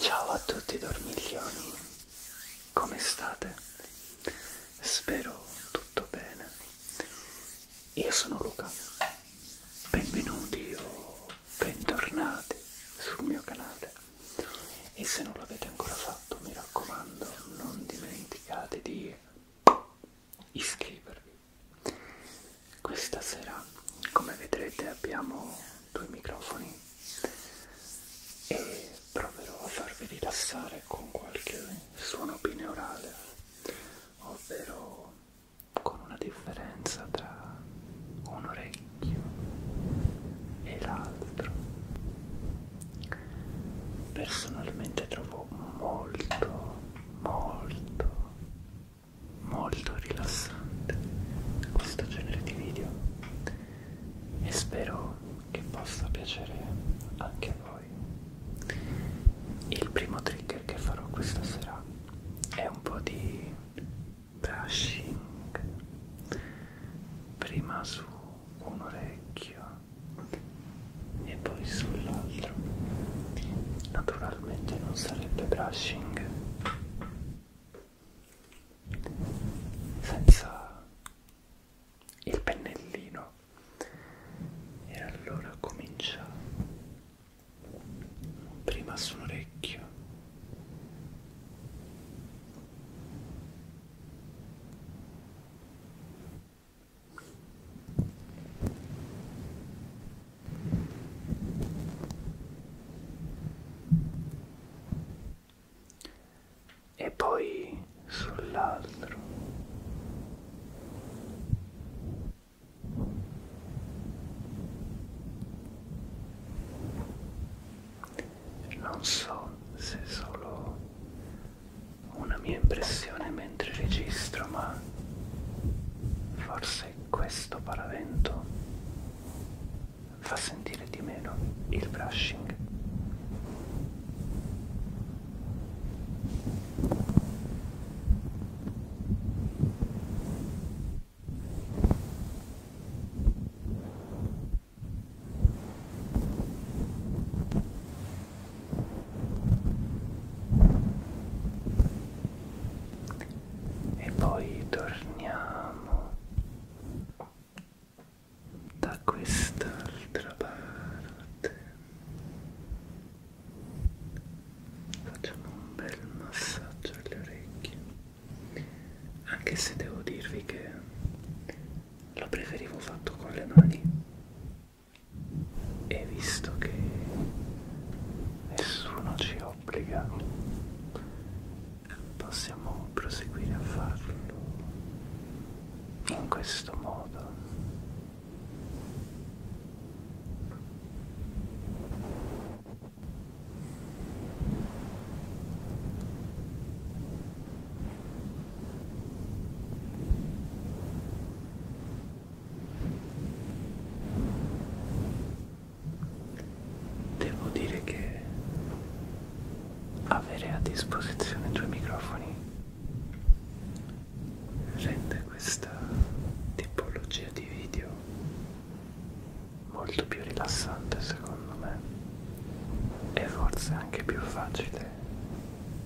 Ciao a tutti dormiglioni, come state? Spero tutto bene. Io sono Luca, benvenuti o bentornati sul mio canale e se non l'avete ancora fatto mi raccomando non dimenticate di iscrivervi. Questa sera, come vedrete, abbiamo due microfoni e proverò a farvi rilassare con qualche suono binaurale, ovvero con una differenza tra un orecchio e l'altro personalmente trovo molto molto molto rilassante questo genere di video e spero che possa piacere anche a voi il primo trigger che farò questa sera è un po' di brushing prima su un orecchio e poi sull'altro naturalmente non sarebbe brushing senza il pennellino e allora comincia prima sull'orecchio e poi sull'altro non so se solo una mia impressione mentre registro, ma forse questo paravento fa sentire di meno il brushing e poi torniamo da quest'altra parte facciamo un bel massaggio alle orecchie anche se devo dirvi che lo preferivo fatto con le mani e visto che nessuno ci obbliga possiamo proseguire a farlo in questo modo Devo dire che avere a disposizione due microfoni rende questa tipologia di video molto più rilassante secondo me e forse anche più facile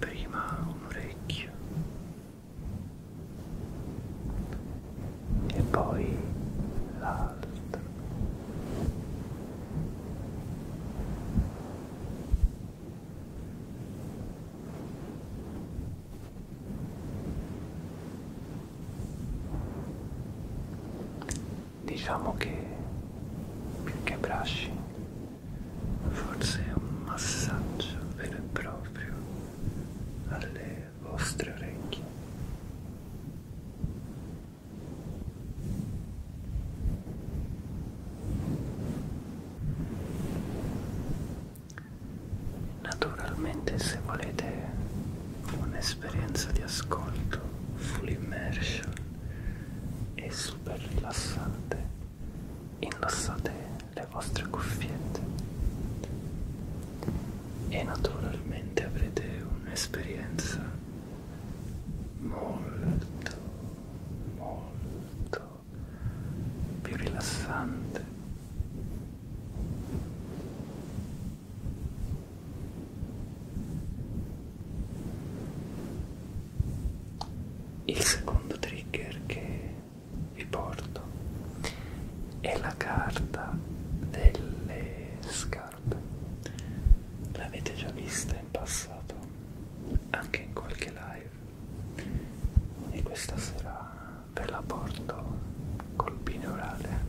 prima un orecchio e poi l'altro diciamo che più che brushing forse è un massaggio vero e proprio alle vostre orecchie Naturalmente se volete un'esperienza di ascolto full immersion e super rilassante, indossate le vostre cuffiette e naturalmente avrete un'esperienza molto molto più rilassante il secondo trigger che vi porto è la carta delle scarpe l'avete già vista in passato anche in qualche live e questa sera ve la porto col binaurale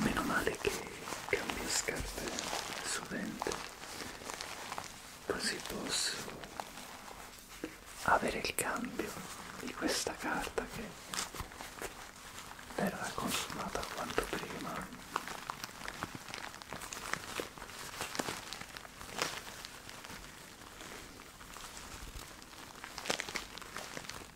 Meno male che cambio scarpe sovente, così posso avere il cambio di questa carta che verrà consumata quanto prima.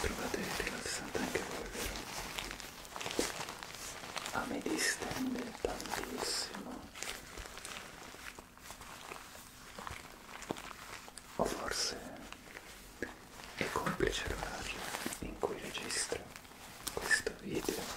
Provate rilassate anche voi, vero? A ah, me distende tantissimo o forse è complice l'orario in cui registro questo video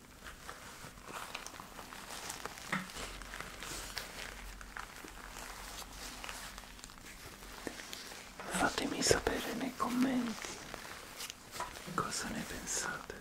Fatemi sapere nei commenti cosa ne pensate.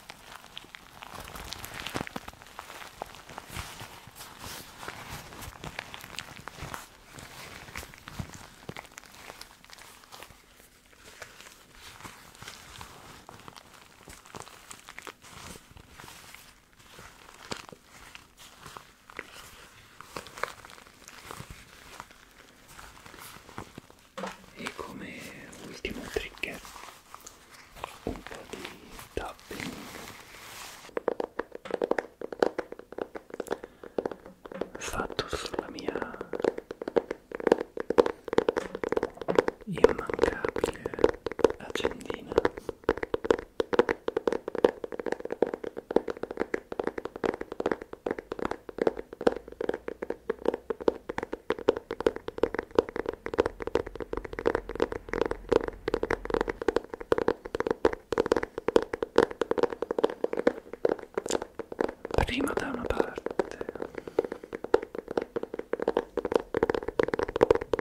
E come ultimo trigger un po' di tapping fatto sulla mia immancabile accendina prima da una parte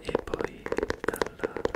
e poi dall'altra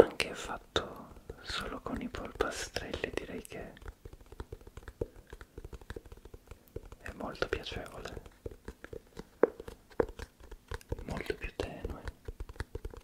Anche fatto solo con i polpastrelli direi che è molto piacevole molto più tenue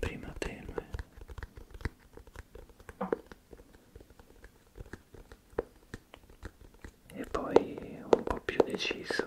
Prima tenue. E poi un po' più deciso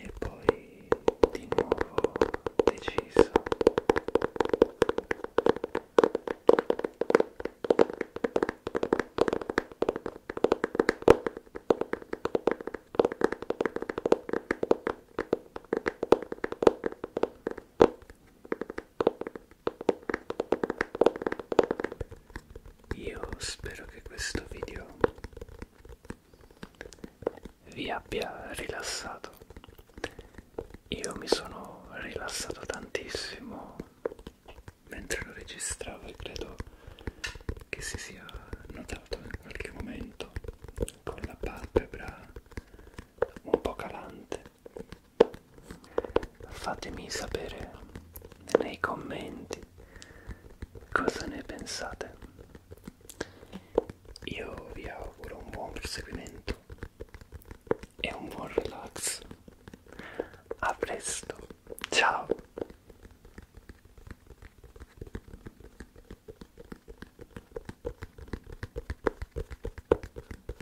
e poi di nuovo deciso io spero che questo video vi abbia rilassato. Io mi sono rilassato tantissimo mentre lo registravo e credo che si sia notato in qualche momento con la palpebra un po' calante Fatemi sapere nei commenti cosa ne pensate. Io vi auguro un buon proseguimento e un buon relax. A presto, ciao!